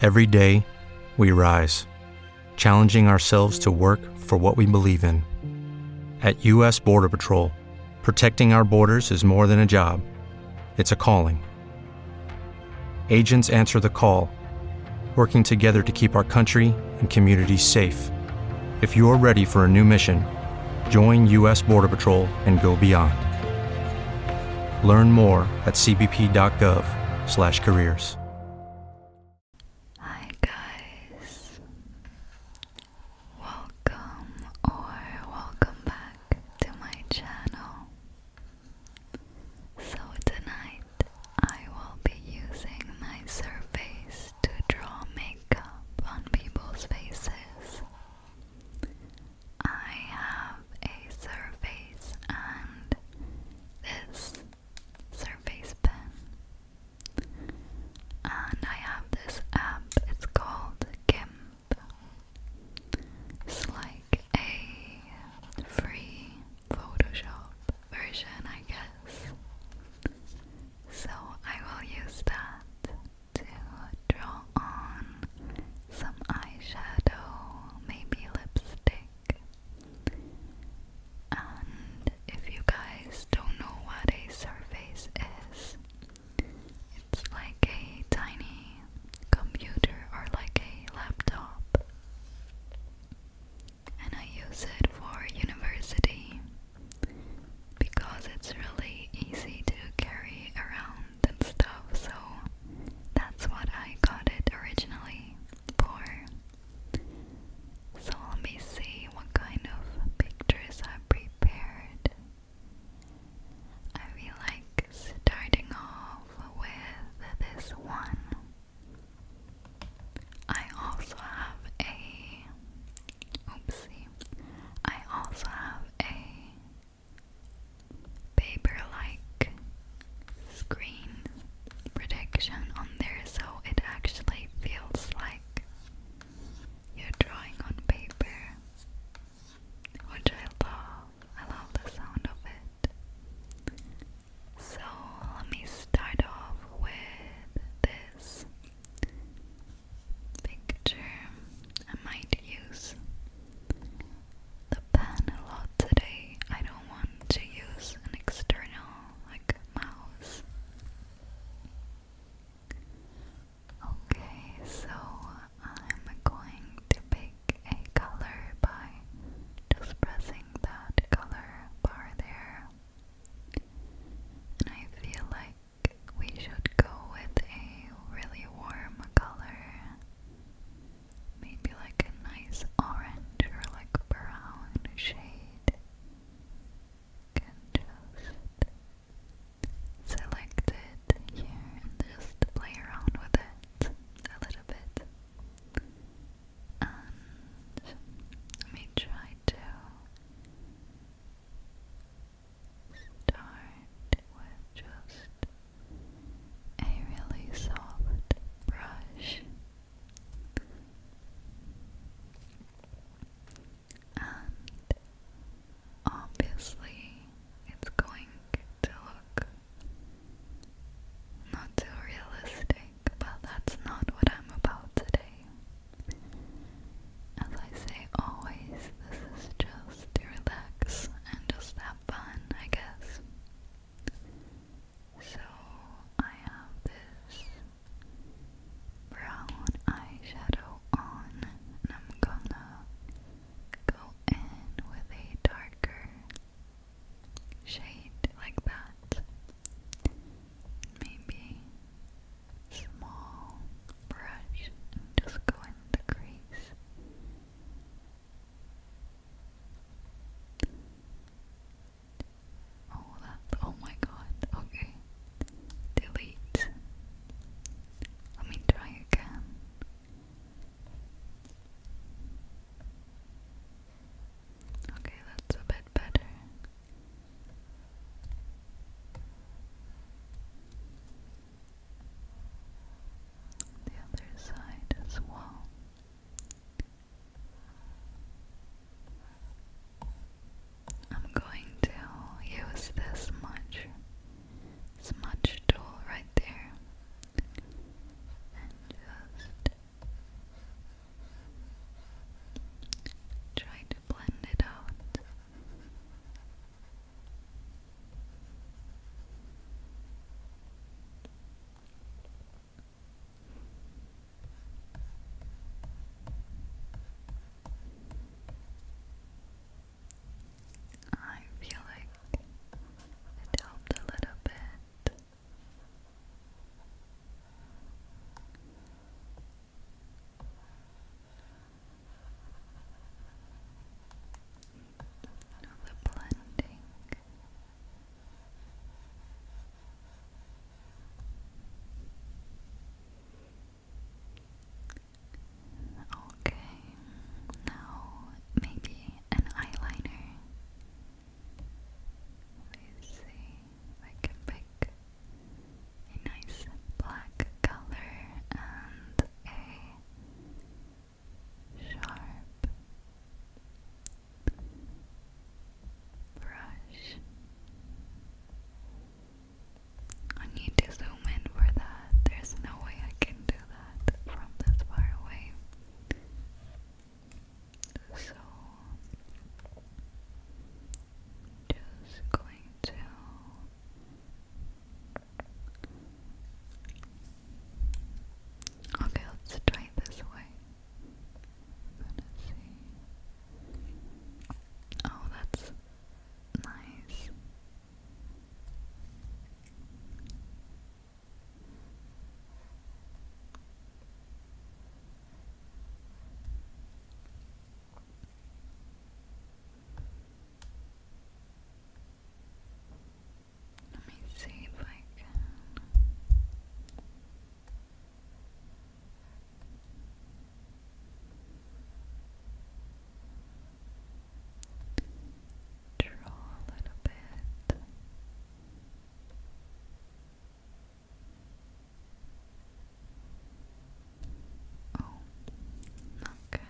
Every day, we rise, challenging ourselves to work for what we believe in. At U.S. Border Patrol, protecting our borders is more than a job, it's a calling. Agents answer the call, working together to keep our country and communities safe. If you're ready for a new mission, join U.S. Border Patrol and go beyond. Learn more at cbp.gov/careers. Hi guys. Welcome or welcome back to my channel. So tonight I will be using my surface to draw makeup on people's faces. I have a surface and this surface pen. And I have this app, it's called GIMP. It's like a free Photoshop version, I guess. So I will use that to draw on some eyeshadow, maybe lipstick. And if you guys don't know what a surface is, it's like a tiny computer or like a laptop. And I use it for university because it's really easy to carry around and stuff, so that's what I got it originally for. So let me see what kind of pictures I prepared. I feel like starting off with this one. I also have a oopsie. I also have a paper-like screen protection on there so it actually feels like you're drawing on paper which I love. I love the sound of it. So let me start off with this picture. I might use the pen a lot today. I don't want to use an external like mouse. Okay, so I'm going to pick a color by just pressing that color bar there. And I feel like we should go with a really warm color maybe like a nice orange or like brown shade. Can just select it here and just play around with it a little bit. let me try to start with just a really soft brush and obviously it's going to look not too realistic, but that's not what I'm about today. As I say always, this is just to relax and just have fun, I guess. So I have this brown eyeshadow on, and I'm gonna go in with a darker shade like that. Maybe small brush just go in the crease. Oh, that. Oh my god. Okay. Delete. Let me try again. Okay, that's a bit better the other side as well. I'm going to use this smudge, smudge tool right there and just try to blend it out I feel like it helped a little bit all the blending. Okay, now maybe an eyeliner. Let me see I can pick a nice black color and a sharp brush. I need to zoom in for that. There's no way I can do that from this far away. So, just going to Okay, let's try it this way. Oh, that's nice. Let me see if I can. Draw a little bit. Oh, okay.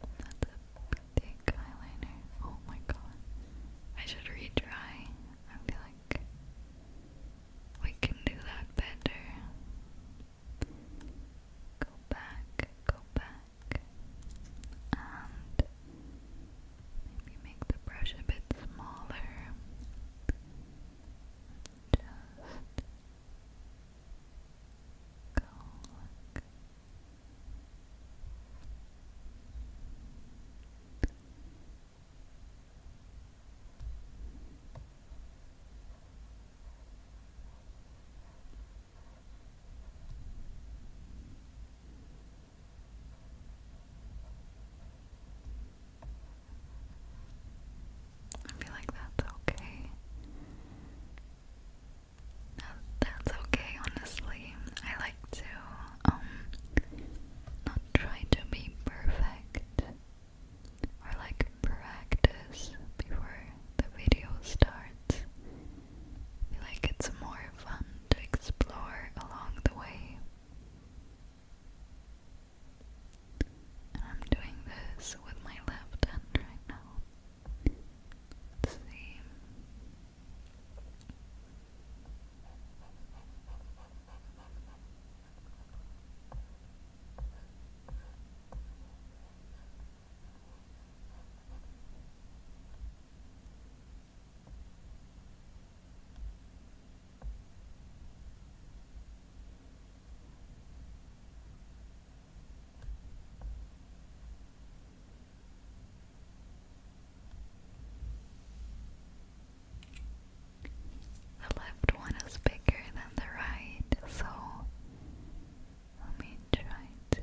That's a big eyeliner. Oh my god. I should retry. I feel like we can do that better. Go back, go back. And maybe make the brush a bit smaller. Just go look. Just I feel like that's okay. that's okay, honestly. I like to, um, not try to be perfect or like practice before the video starts. feel like it's more fun to explore along the way. And I'm doing this with my left hand right now. let the left one is bigger than the right, so let me try to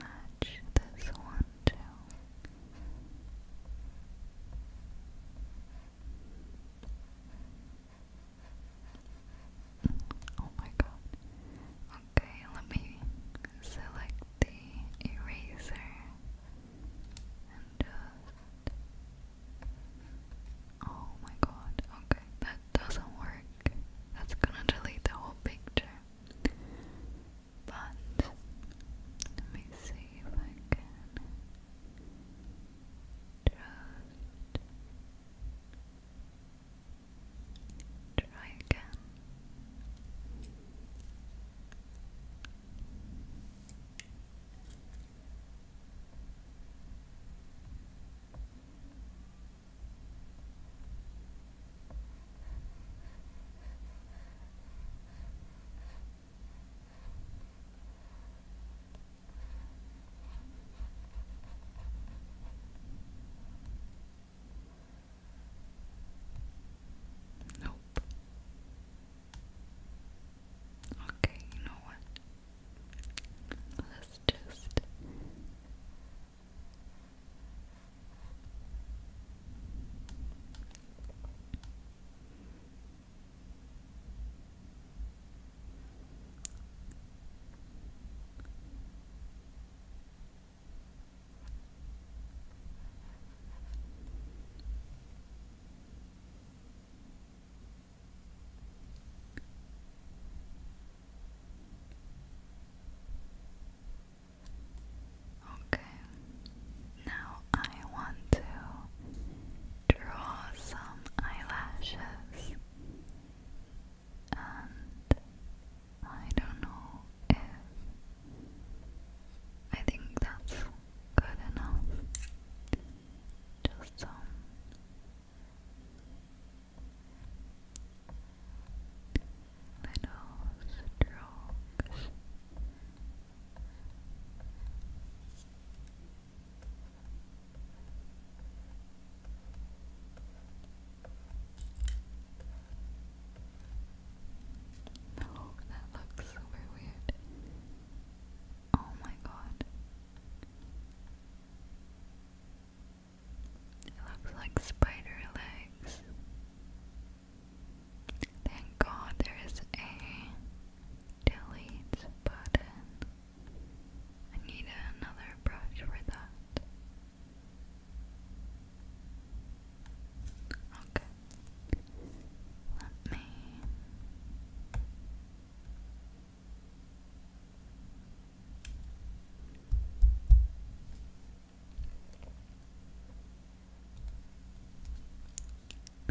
match this one too. Oh my god. Okay, let me select the eraser and just. Oh my god. Okay, that doesn't work. That's gonna delete the whole picture. But let me see if I can. Trust. Try again. Nope. Okay, you know what? Let's just Okay, now I want to draw some eyelashes, and I don't know if I think that's good enough. Just some. Little strokes no, that looks super weird. Oh my god. It looks like spider legs. Thank god there is a delete button. I need another brush for that. Okay. Let me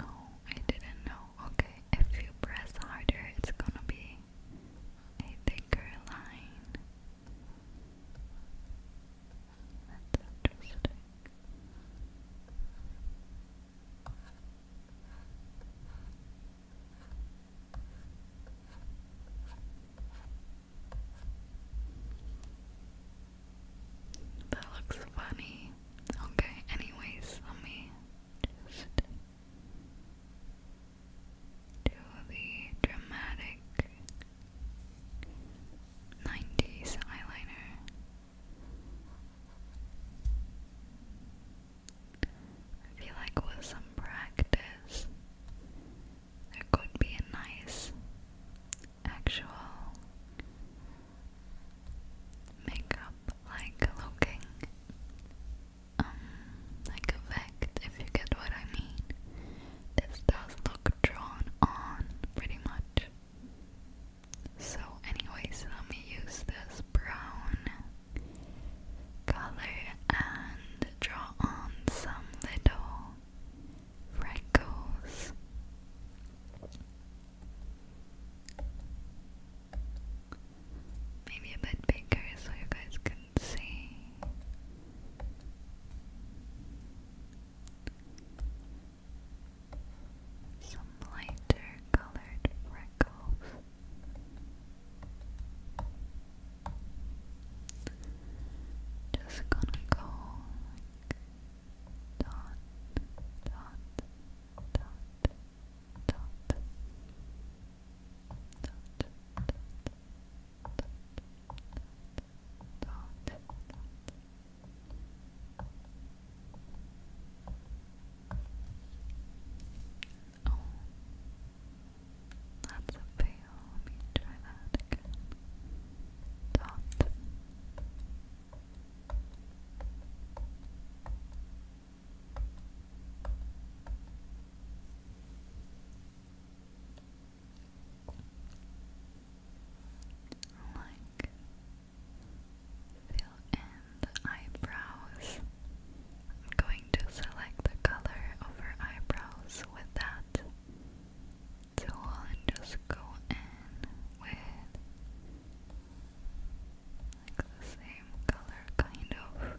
Oh, I didn't know. Okay, if you press harder, it's gonna be a thicker line. That's interesting. That looks funny. Okay, anyways, let me just do the dramatic 90s eyeliner. I feel like with some practice, there could be a nice actual makeup like looking um like effect if you get what I mean. This does look drawn on pretty much. So anyways, let me use this brown color and draw on some little freckles. Maybe a bit bigger so you guys can see some lighter colored freckles. Just gonna go like dot, dot, dot, dot, dot, dot, dot, dot, dot, dot, Oh, that's a fail. Let me try that again. Dot. Like Fill in eyebrows. I'm going to select the color of eyebrows with that tool and just go in with the same color kind of.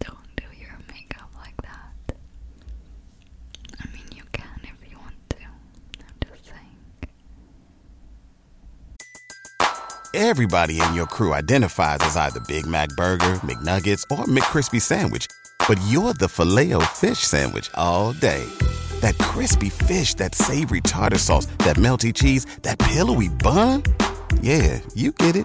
Don't do your makeup like that. I mean, you can if you want to. Everybody in your crew identifies as either Big Mac Burger, McNuggets, or McCrispy Sandwich, but you're the filet fish Sandwich all day. That crispy fish, that savory tartar sauce, that melty cheese, that pillowy bun. Yeah, you get it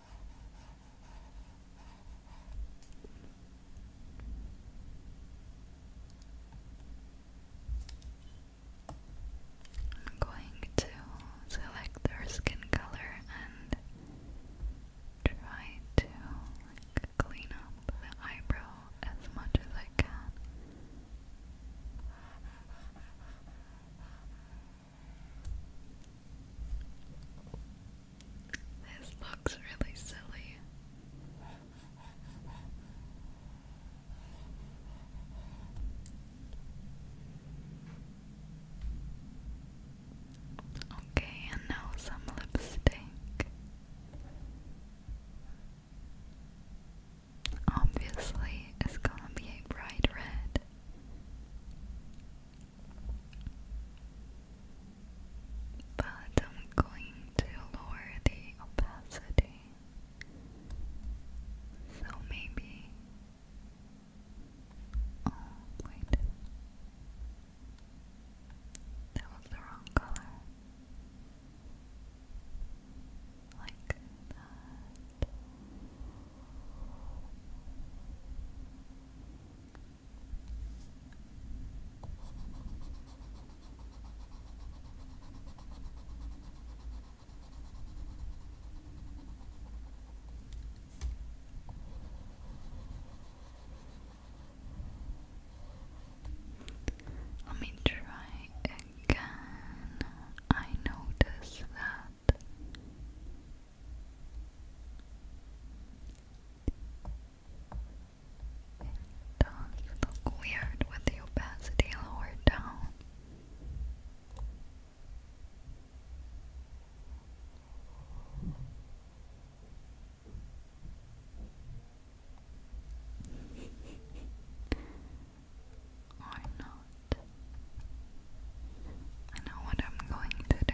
I'm going to select their skin color and try to clean up the eyebrow as much as I can. This looks really silly. Okay, and now some lipstick. Obviously, it's gonna be a bright red. But I'm going to lower the opacity. So maybe. Oh, wait. That was the wrong color. Like that. Let me try again. I notice that it does weird with the opacity lower down or not. I know what I'm going to do.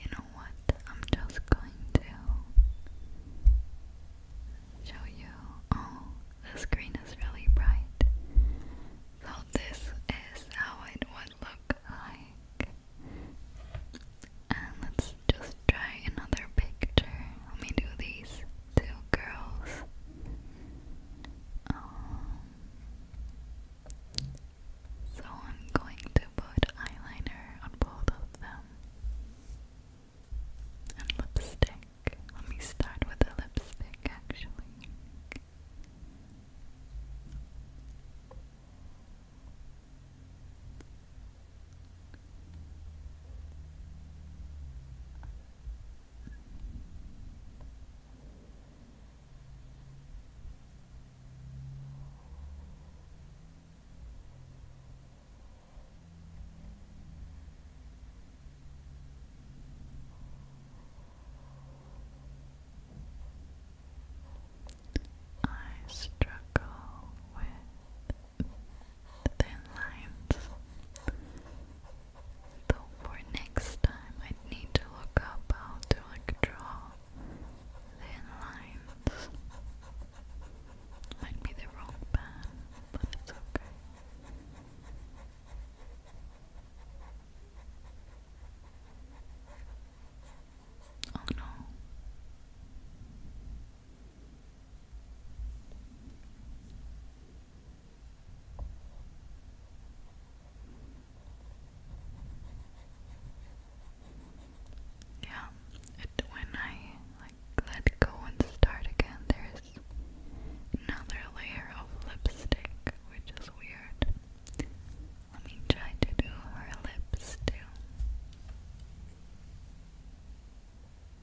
you know what? I'm just going to show you. Oh, the screen is really bright. So, this is how it would look like let just try another picture. Let me do these two girls. Um, so I'm going to put eyeliner on both of them. And lipstick. Let me start with the lipstick actually. I struggle with thin lines. So for next time, I need to look up how to like draw thin lines. Might be the wrong pen, but it's okay. Oh no. Yeah, it, when I like let go and start again, there's another layer of lipstick, which is weird. Let me try to do her lips too.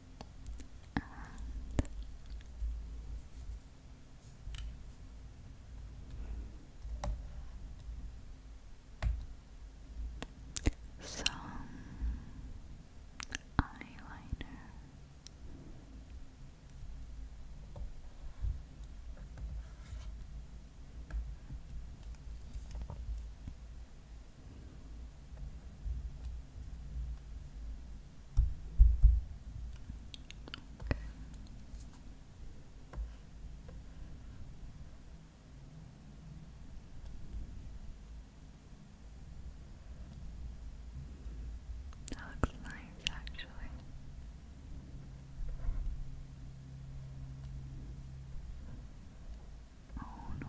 and some eyeliner. Okay. That looks nice actually. Oh no.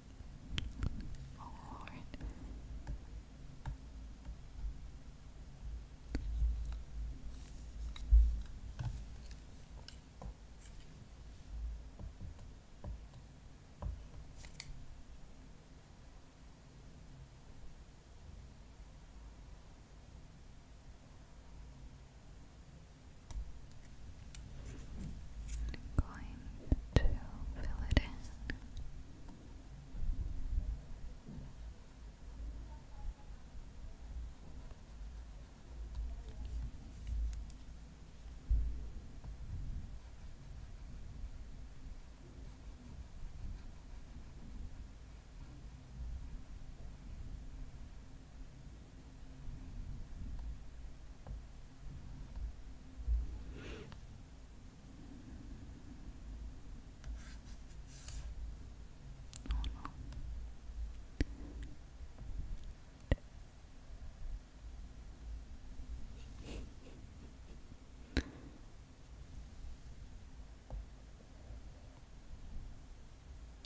Oh Lord going to fill it in.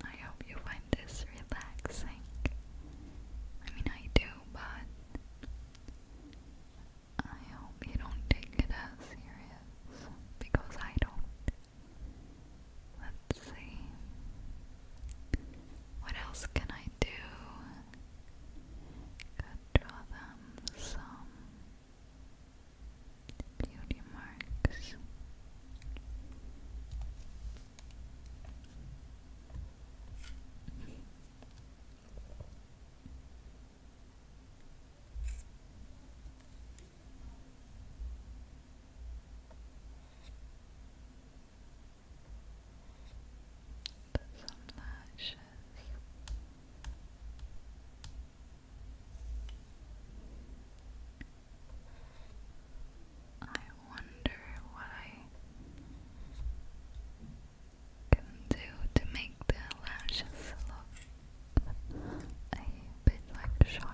I hope you find this relaxing. I mean, I do, but I hope you don't take it as serious because I don't. Let's see. What else can I do? draw them some beauty marks some lashes. I wonder what can do to make the lashes look a bit like sharp.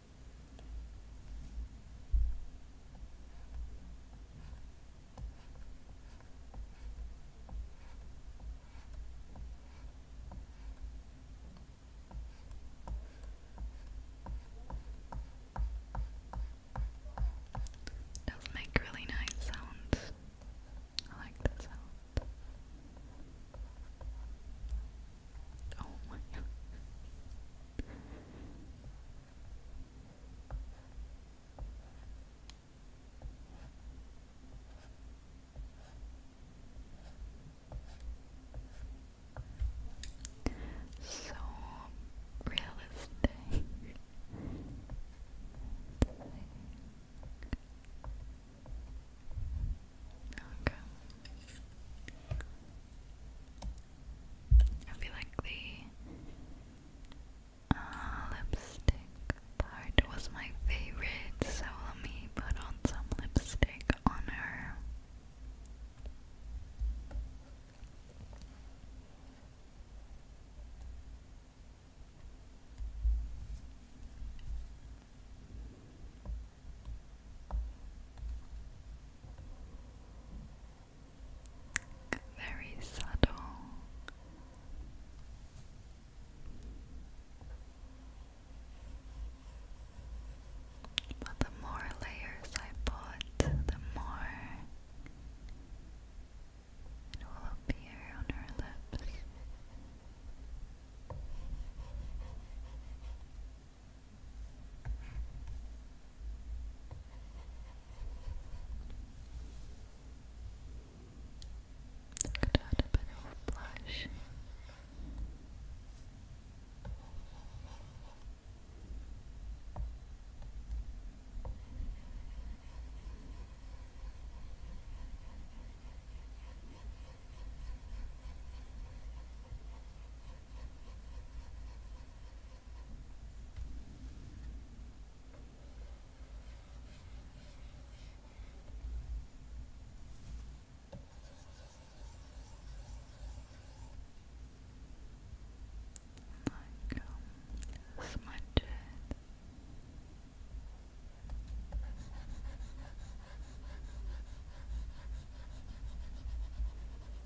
It does make really nice sounds. I like the sound. Oh my god. So realistic. Okay. I feel like the uh, lipstick part was my favorite, so let me put on some lipstick on her very subtle. But the more layers I put, the more it will appear on her lips. Could add a bit of blush. Like, um, smudge it.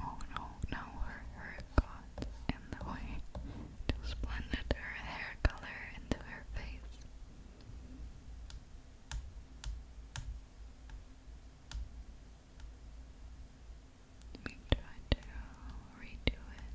Oh no, now her hair got in the way. It blended her hair color into her face. Let me to redo it.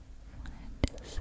wanted to say.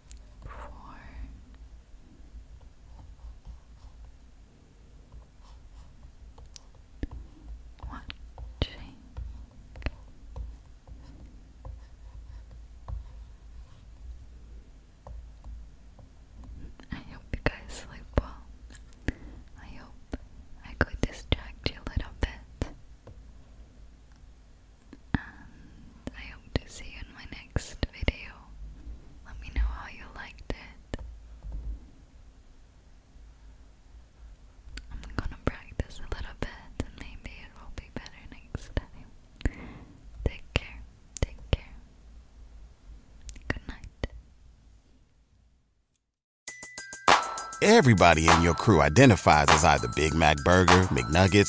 four, I hope you guys sleep well. I hope I could distract you a little bit. I hope to see you in my next video. Let me know how you liked it. I'm gonna practice a little bit and maybe it will be better next time. Take care, take care. Good night. Everybody in your crew identifies as either Big Mac Burger, McNuggets,